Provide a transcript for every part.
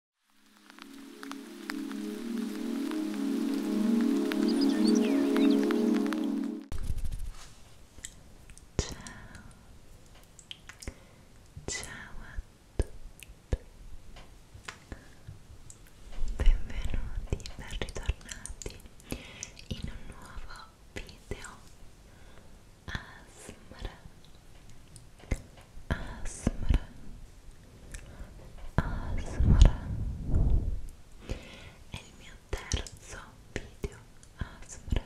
Ciao, ciao a tutti, benvenuti, ben ritornati in un nuovo video ASMR asmr asmr è il mio terzo video asmr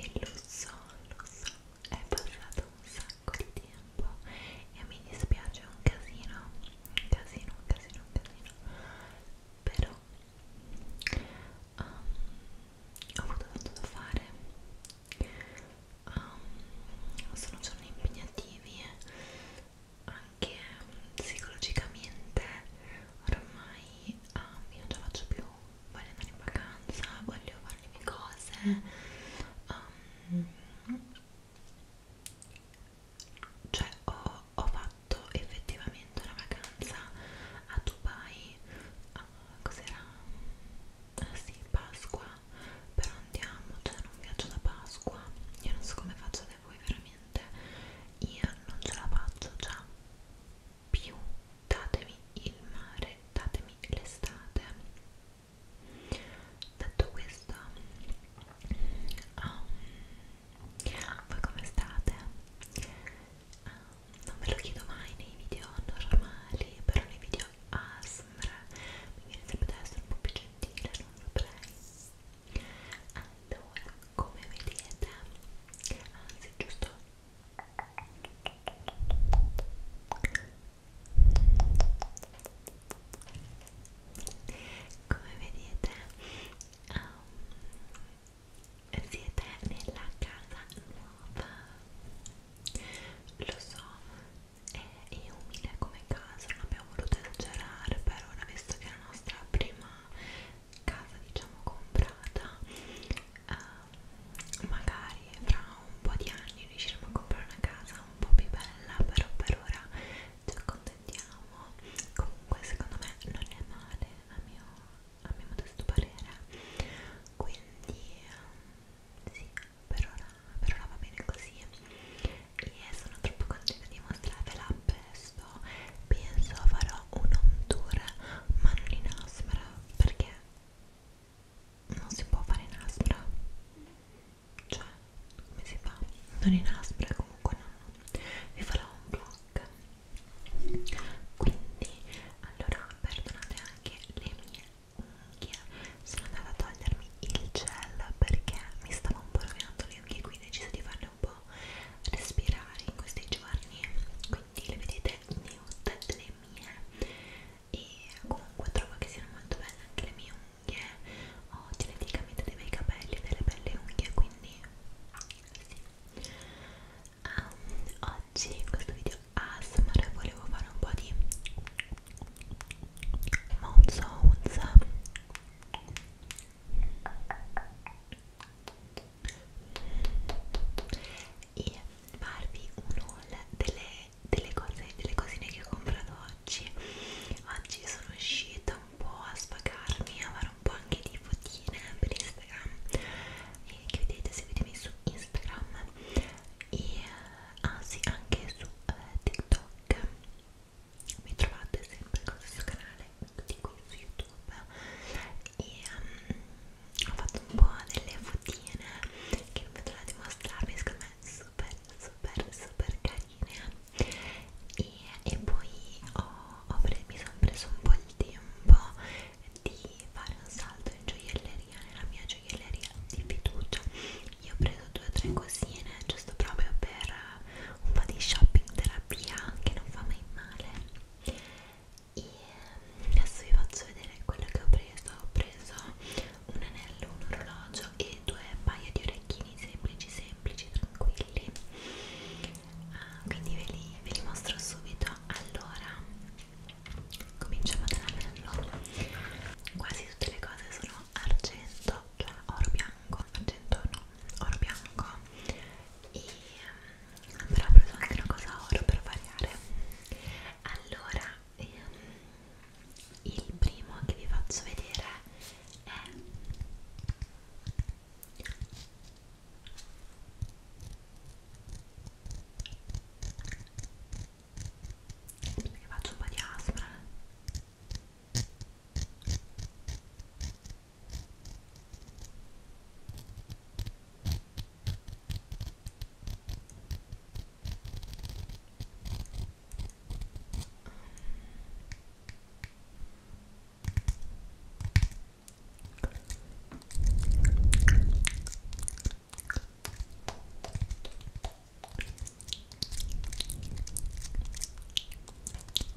e lo so, lo so è passato un sacco di tempo e mi dispiace un casino un casino, un casino, un casino però um, ho avuto tanto da fare um, sono giorni impegnativi eh. anche mm, psicologicamente ormai um, ehm, io non ce la faccio più voglio andare in vacanza voglio fare le mie cose um, cioè ho, ho fatto effettivamente una vacanza a Dubai uh, cos'era? Ah, sì, Pasqua però andiamo, cioè non viaggio da Pasqua, io non so come faccio da voi veramente, io non ce la faccio già più, datemi il mare, datemi l'estate. Detto questo, um, voi come state? Um, non ve lo chiedo mai nei video normali, però nei video ASMR sembra mi viene sempre da essere un po' più gentile non vorrei allora come vedete anzi giusto come vedete um, siete nella casa nuova lo so è, è umile come casa, non abbiamo voluto esagerare per ora visto che è la nostra prima casa diciamo comprata uh, magari fra un po' di anni riusciremo a comprare una casa un po' più bella però per ora ci accontentiamo comunque secondo me non è male a mio, a mio modesto parere quindi um, sì per ora, per ora va bene così e sono troppo contenta di mostrarvela presto penso farò un home tour ma non in aspra perché non si può fare in aspra cioè come si fa? non in aspra comunque no vi farò un vlog quindi allora perdonate anche le mie Yeah. Sono andata a togliermi il gel perché mi stava un po' rovinando le unghie qui ho deciso di farle un po' respirare in questi giorni quindi le vedete nude le mie e comunque trovo che siano molto belle anche le mie unghie ho geneticamente dei bei capelli e delle belle unghie quindi sì um, oggi in questo video ASMR volevo fare un po' di Monza, Monza e farvi un haul delle, delle cose, delle cosine che ho comprato oggi oggi sono uscita un po' a svagarmi a fare un po' anche di fotine per Instagram e che vedete seguitemi su Instagram e anzi ah sì, anche su eh, TikTok Black mi trovate sempre con questo canale di qui su youtube e um, ho fatto un po' delle fotine che mi trovate a mostrarvi secondo me super super super carine e, e poi ho, ho mi sono preso un po' il tempo di fare un salto in gioielleria nella mia gioielleria di fiducia io ho preso due o tre cosine giusto proprio per eh, un po' di shopping terapia che non fa mai male e ehm, adesso vi faccio vedere quello che ho preso ho preso un anello, un orologio e due paio di orecchini semplici semplici tranquilli uh, quindi ve li, ve li mostro subito allora cominciamo dall'anello quasi tutte le cose sono argento, cioè oro bianco, argento no, oro bianco e um, però ho preso anche una cosa oro per variare allora um, il primo che vi faccio vedere è perché faccio un po' di aspra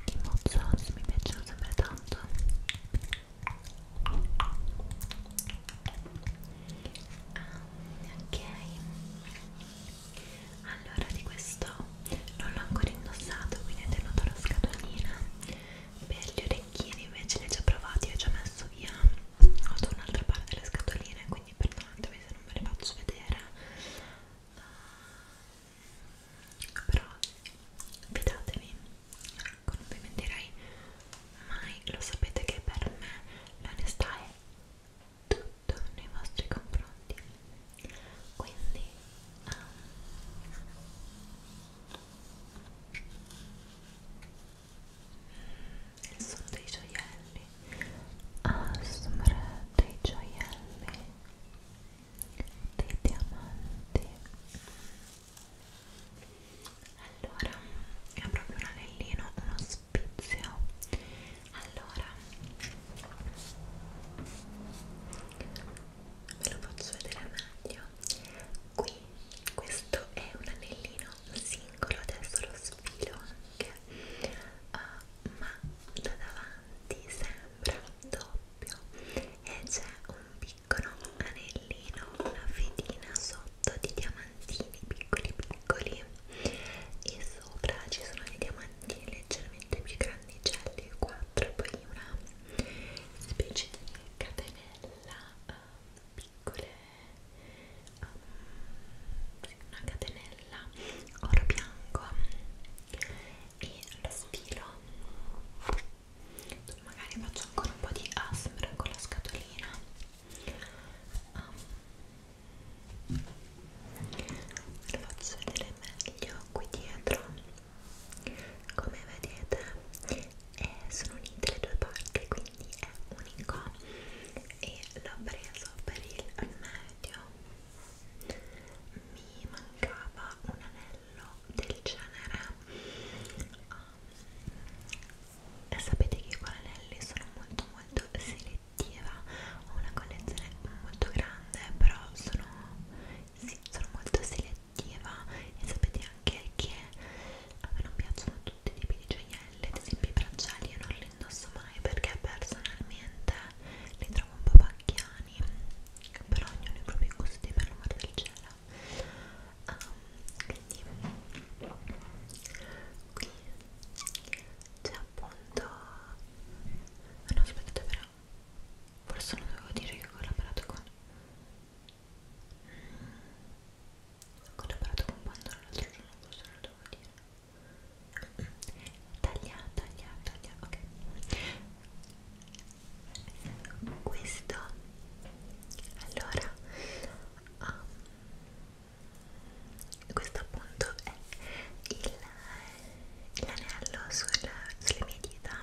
i mozzarelli mi piacciono sempre tanto um, ok allora di questo non l'ho ancora indossato quindi ho tenuto la scatolina per gli orecchini invece li ho già provati ho già messo via ho da un'altra parte le scatoline quindi perdonatemi se non ve le faccio vedere uh, però fidatevi ecco non vi mentirei mai lo sapete che per me l'onestà è tutto nei vostri confronti quindi um, il suono dei gioielli ASMR dei gioielli dei diamanti allora è proprio un anellino uno spizio allora ve lo faccio vedere meglio qui questo è un anellino singolo adesso lo sfilo lunghe uh, ma da davanti sembra doppio e c'è un piccolo anellino, una fedina sotto di diamantini piccoli piccoli e sopra ci sono dei diamantini leggermente più grandicelli, 4 e poi una specie di catenella uh, piccole una catenella oro bianco e lo sfilo magari faccio ancora un po' di ASMR con la scatolina um, lo faccio vedere meglio qui dietro come vedete eh, sono unite le due parti quindi è unico e l'ho preso per il medio mi mancava un anello del genere um, sapete che con anelli sono molto molto selettiva ho una collezione molto grande però sono, sì, sono molto selettiva e sapete anche che a me non piacciono tutti i tipi di gioielli ad esempio i bracciali io non li indosso mai perché personalmente li trovo un po' pacchiani però ognuno i propri gusti per l'amore del cielo um, quindi qui c'è appunto ah, no aspetta però forse non dovevo dire che ho collaborato con mm, ho collaborato con Pandora l'altro giorno forse non lo dovevo dire taglia, taglia, taglia, ok questo allora um, questo appunto è l'anello sulle, sulle mie dita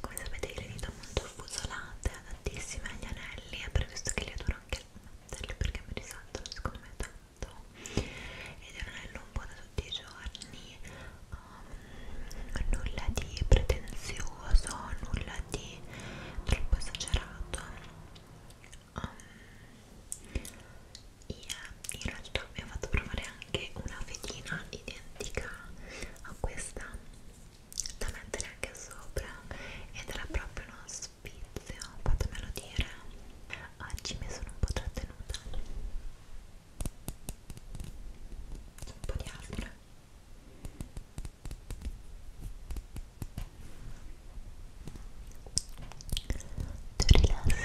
come sapete io le dita molto fusolate adattissime agli anelli è per questo che le adoro anche le perché mi risaltano secondo me tanto Esatto. ed è un anello un po' da tutti i giorni um, nulla di pretenzioso nulla di troppo esagerato um, io in realtà mi ho fatto provare anche una fedina identica a questa da mettere anche sopra ed era proprio uno spizio fatemelo dire oggi mi sono un po' trattenuta un po' di afra tu rilassati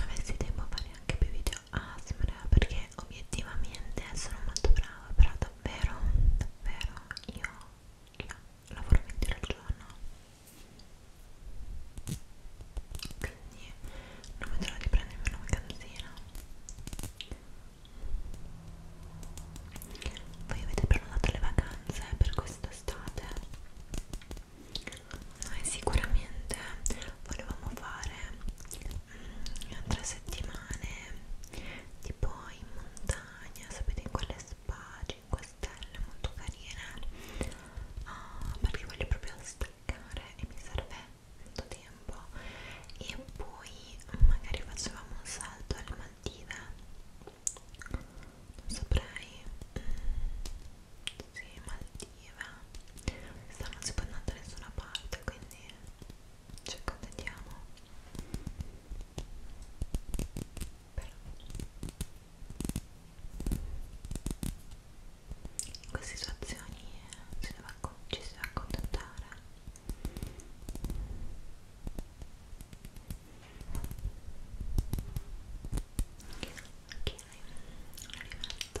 avessi tempo a fare anche più video ASMR ah, perché obiettivamente sono molto brava però davvero davvero io, io lavoro 20 ore al giorno quindi quindi non vedo l'ora di prendermi una vacanzina voi avete prenotato le vacanze per quest'estate? noi sicuramente volevamo fare mm, tre settimane tipo in montagna sapete in quelle spa 5 stelle molto carine ah, perché voglio proprio staccare e mi serve tanto tempo e poi magari facevamo un salto alle Maldive non saprei mm, sì, Maldive sta non si può andare da nessuna parte quindi ci accontentiamo però in queste situazioni eh, si deve, ci si deve accontentare ok, arrivata ok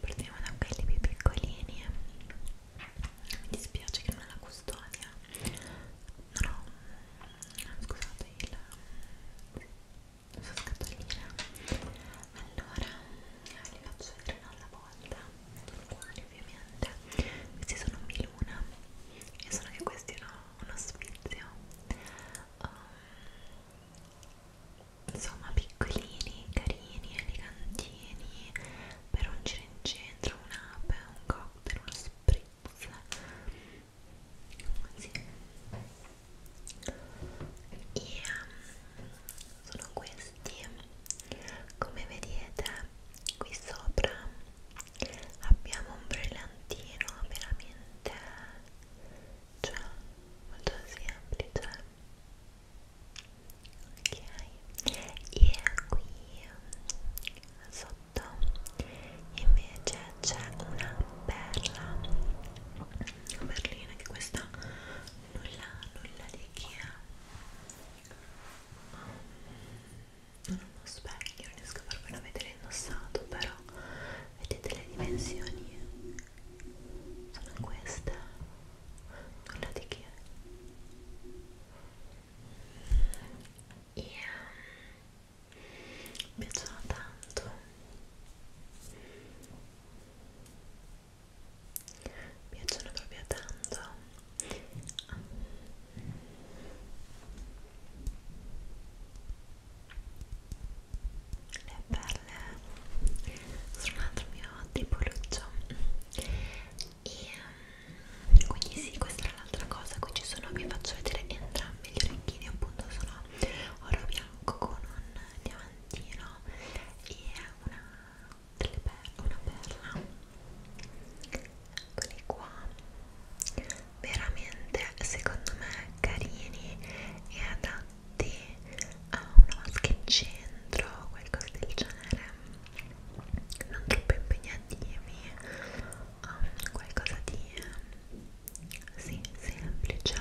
partiamo da quelli più piccolini eh. mi dispiace che non è la custodia non ho scusate il la sua scatolina allora li faccio vedere una alla volta sono buoni ovviamente questi sono miluna e sono che questi hanno uno spizio um, ehm, insomma piccolini, carini, elegantini per un giro in centro, un'app, un cocktail, uno spritz così e um, sono questi come vedete qui sopra abbiamo un brillantino veramente cioè molto semplice ok e qui sotto invece c'è una perla una perlina che questa nulla nulla di chi ha mm, non ho uno specchio non riesco a farvelo vedere indossato però vedete le dimensioni sono queste nulla di che e um, mi piacciono tanto mi piacciono proprio tanto um, è bella eh, sul altro mio tripoluccio e um, quindi sì questa è l'altra cosa qui ci sono vi faccio vedere entrambi gli orecchini appunto sono oro bianco con un diamantino e una delle per una perla eccoli qua veramente secondo me carini e adatti davanti a ah, una vasca in centro qualcosa del genere non troppo impegnativi um, ah, qualcosa di sì, semplice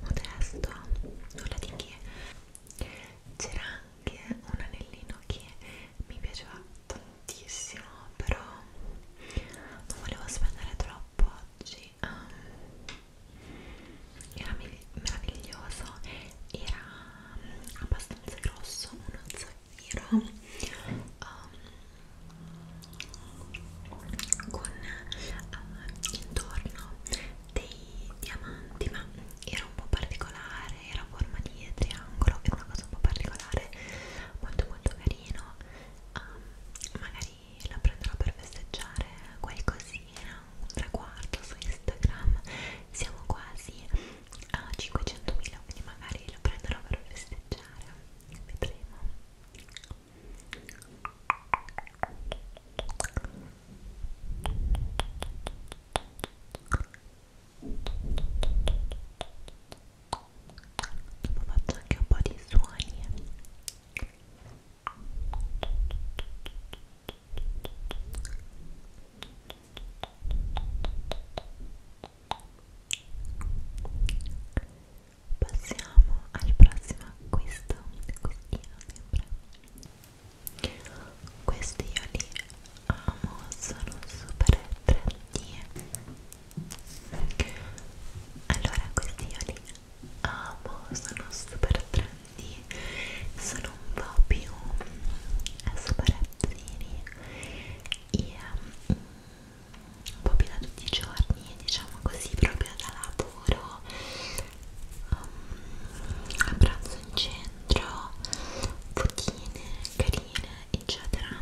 modesto nulla di che c'era anche un anellino che mi piaceva tantissimo però non volevo spendere troppo oggi um, era meraviglioso era mm, abbastanza grosso uno zaffiro um, con uh, intorno dei diamanti ma era un po' particolare era a forma di triangolo era una cosa un po' particolare molto molto carino um, magari la prenderò per festeggiare qualcosina un traguardo su Instagram, siamo quasi a 500.000, quindi magari lo prenderò per festeggiare, vedremo. Dopo faccio anche un po' di suoni Passiamo al prossimo acquisto, costina sempre. Questi io li amo, sono super trendy. Allora, questi io li amo, sono super trendy quindi sono un po' più eh, sbarazzini e um, un po' più da tutti i giorni, diciamo così, proprio da lavoro um, mm, a pranzo in centro, fottine carine, eccetera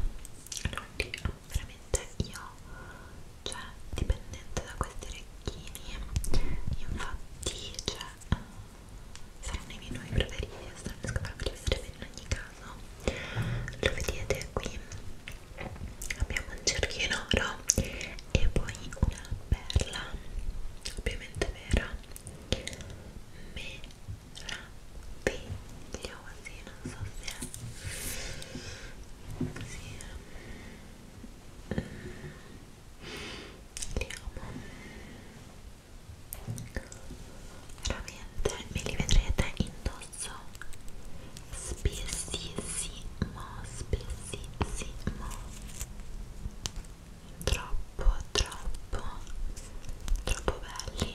quindi veramente io, cioè dipendente da questi orecchini infatti, cioè saranno i miei nuovi preferiti adesso non riesco a farveli vedere bene in ogni caso lo vedete qui abbiamo un cerchio in oro e poi una perla ovviamente vera meravigliosi non so se è sì li amo veramente me li vedrete indosso spessissimo spessissimo troppo troppo troppo belli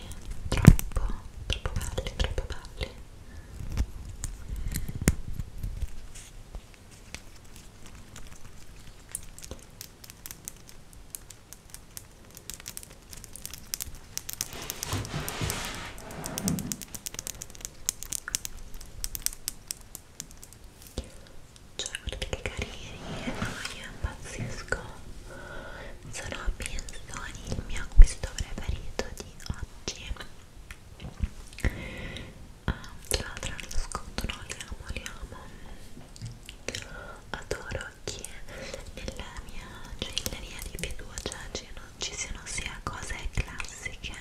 troppo troppo belli troppo belli cioè, guardate che carini, oh, ah, io impazzisco. Sono pensioni il mio acquisto preferito di oggi. Ah, l'altra lo sconto, no, li amo, li amo. Adoro che nella mia gioielleria di fiducia cioè, ci siano sia cose classiche,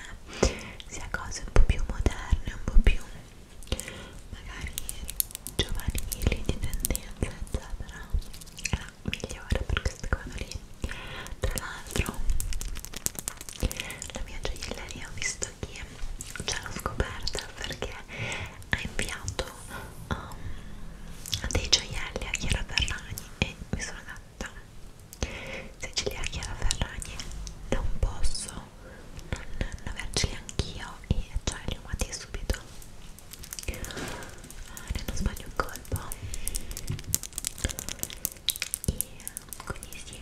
sia cose un po' più moderne, un po' più magari giovanili, di tendenza, eccetera. È la migliore per queste cose lì. Tra l'altro, la mia gioielleria ho visto detto chi ce cioè, l'ho scoperta perché ha inviato um, dei gioielli a Chiara Ferragni e mi sono detta se ce li ha Chiara Ferragni non posso non, non averceli anch'io e cioè li ho amati subito ah, ne non sbaglio un colpo e quindi sì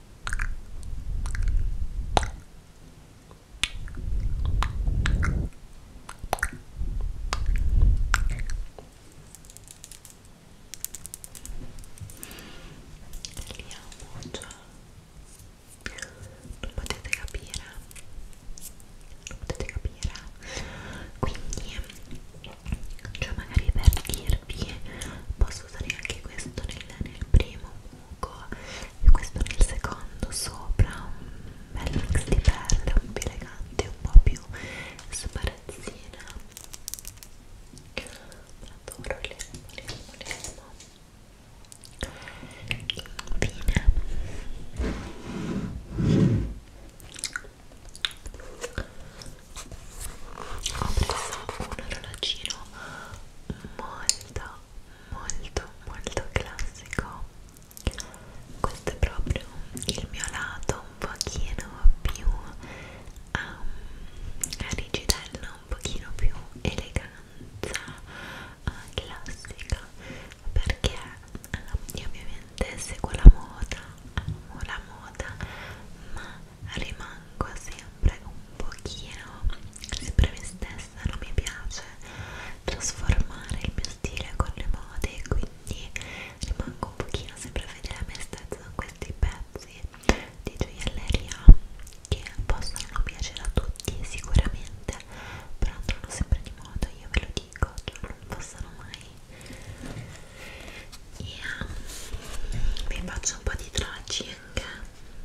Li amo, cioè non potete capire non potete capire quindi cioè magari per dire terapie posso usare anche questo nel, nel primo buco e questo nel secondo sopra un bel mix di perle un po' elegante un po' più sbarazzina adoro l'elmo l'elmo l'elmo infine ho preso un orologino molto molto molto classico questo è proprio il mio lato un pochino più um, rigidello un pochino più eleganza uh, classica perché uh, io ovviamente seguo la moda amo la moda ma rimango sempre un pochino sempre me stessa, non mi piace trasformare il mio stile con le mode, quindi rimango un pochino sempre fedele a me stessa con questi pezzi di gioielleria che possono non piacere a tutti sicuramente, però andranno sempre di moda, io ve lo dico, cioè, non passano mai. E um, vi faccio un po' di tracci anche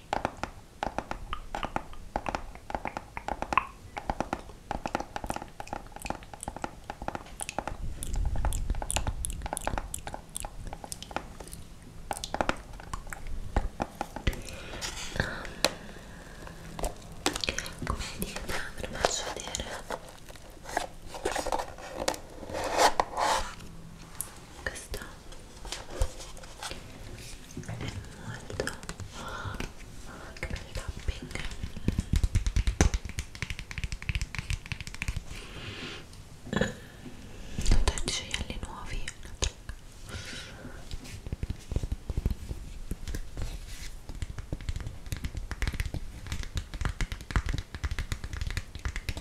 come dite ve lo faccio vedere questa è molto oh, che bel tapping ho 13 gioielli nuovi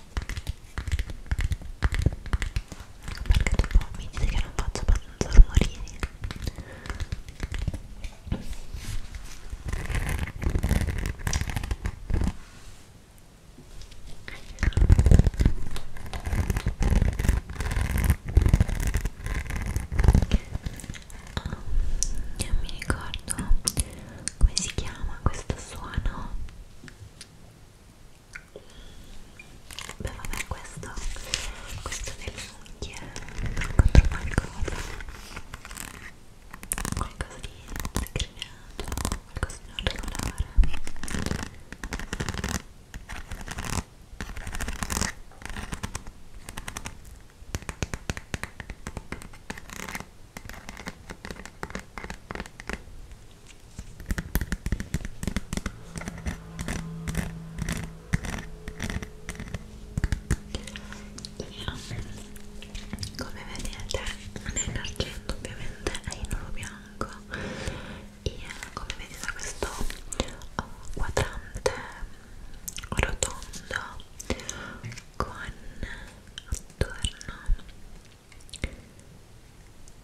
perché dopo mi dite che non faccio abbastanza rumorini Oh, non mi ricordo come si chiama questo suono beh vabbè questo questo delle unghie non trovo qualcosa qualcosa di segregato qualcosa di non regolare come vedete non è in argento ovviamente è in oro bianco e come vedete questo oh, quadrante rotondo con attorno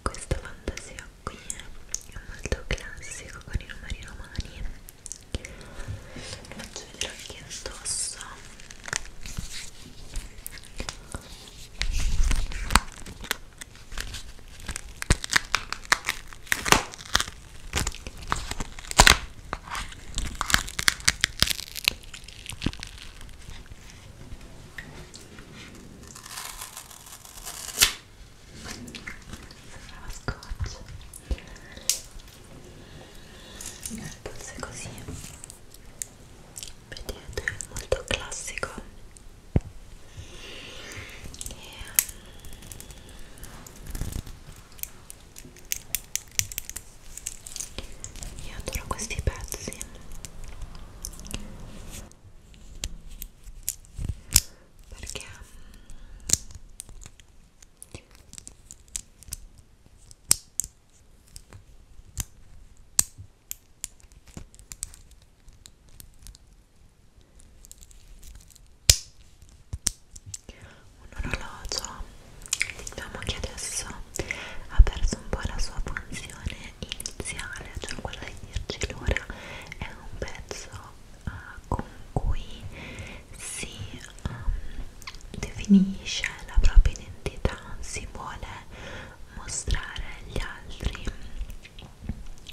questo fantasia qui è molto classico con i numeri romani. Faccio vedere anche addosso sembrava scotch il polso è così vedete è molto classico e io adoro questi pezzi perché mm, un orologio diciamo che adesso ha perso un po' la sua funzione iniziale, cioè quella di dirci l'ora, è un pezzo uh, con cui si um, definisce la propria identità, si vuole mostrare agli altri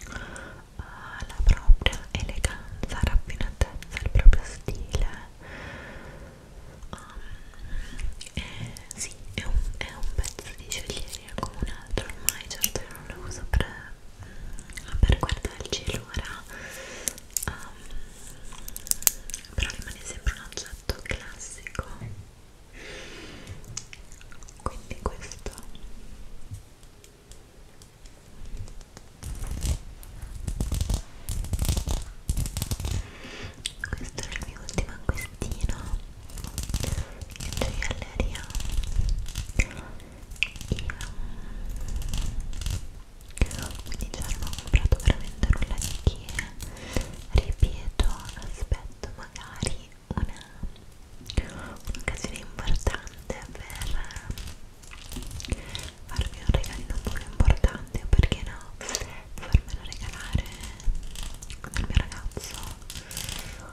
uh, la propria eleganza, raffinatezza, il proprio stile. Um, eh, sì, è un, è un pezzo di Juliette come un altro ormai certo io non lo uso per, mm, per guardare il cielo ora um, però rimane sempre un oggetto classico quindi questo questo era il mio ultimo acquistino gioielleria io quindi già non ho comprato veramente nulla di che ripeto aspetto magari un'occasione un importante per farmi un regalino un po' più importante perché no farmelo regalare al mio ragazzo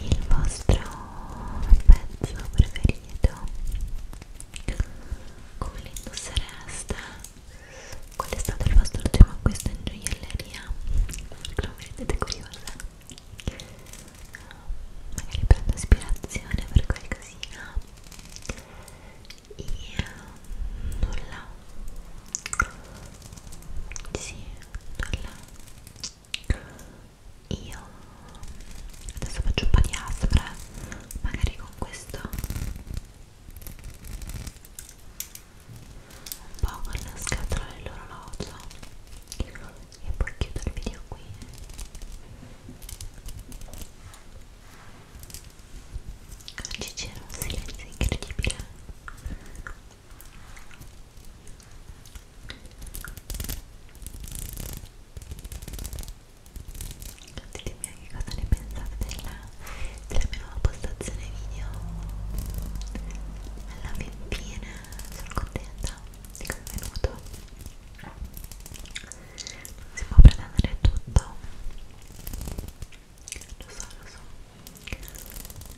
il vostro pezzo preferito come lo indossereste qual è stato il vostro ultimo acquisto in gioielleria perché non mi rendete curiosa magari prendo ispirazione per qualcosina e nulla sì io adesso faccio un po' di aspra, magari con questo un po' con la scatola dell'orologio e poi chiudo il video qui. Oggi c'era un silenzio incredibile ditemi anche cosa ne pensate della, della mia nuova postazione video alla fin fine sono contenta di come è venuto non si può pretendere tutto lo so, lo so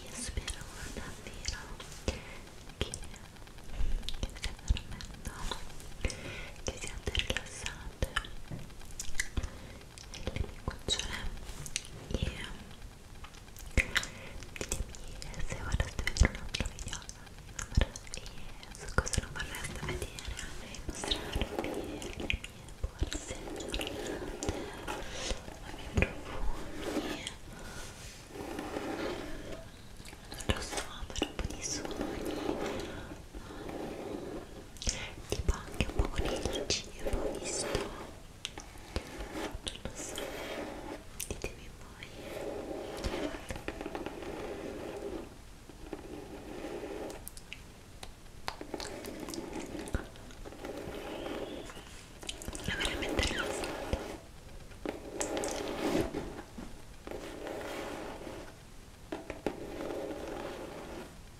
Io spero davvero che, che stiate dormendo, che siate rilassate le mie cucciole e ditemi se vorreste vedere un altro video e su cosa non vorreste vedere e mostrarvi le mie borse giornate, i miei profumi non lo so, per un po' di suoni tipo anche un po' con il cibo visto non lo so ditemi voi è veramente rilassante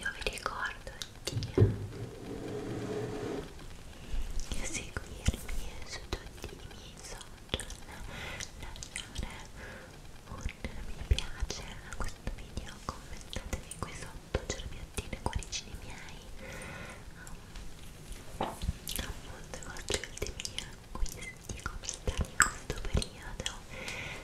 io vi ricordo di seguirmi su tutti i miei social lasciare un mi piace a questo video commentatevi qui sotto cerbiattine cuoricini miei um, appunto i vostri ultimi acquisti come stanno in questo periodo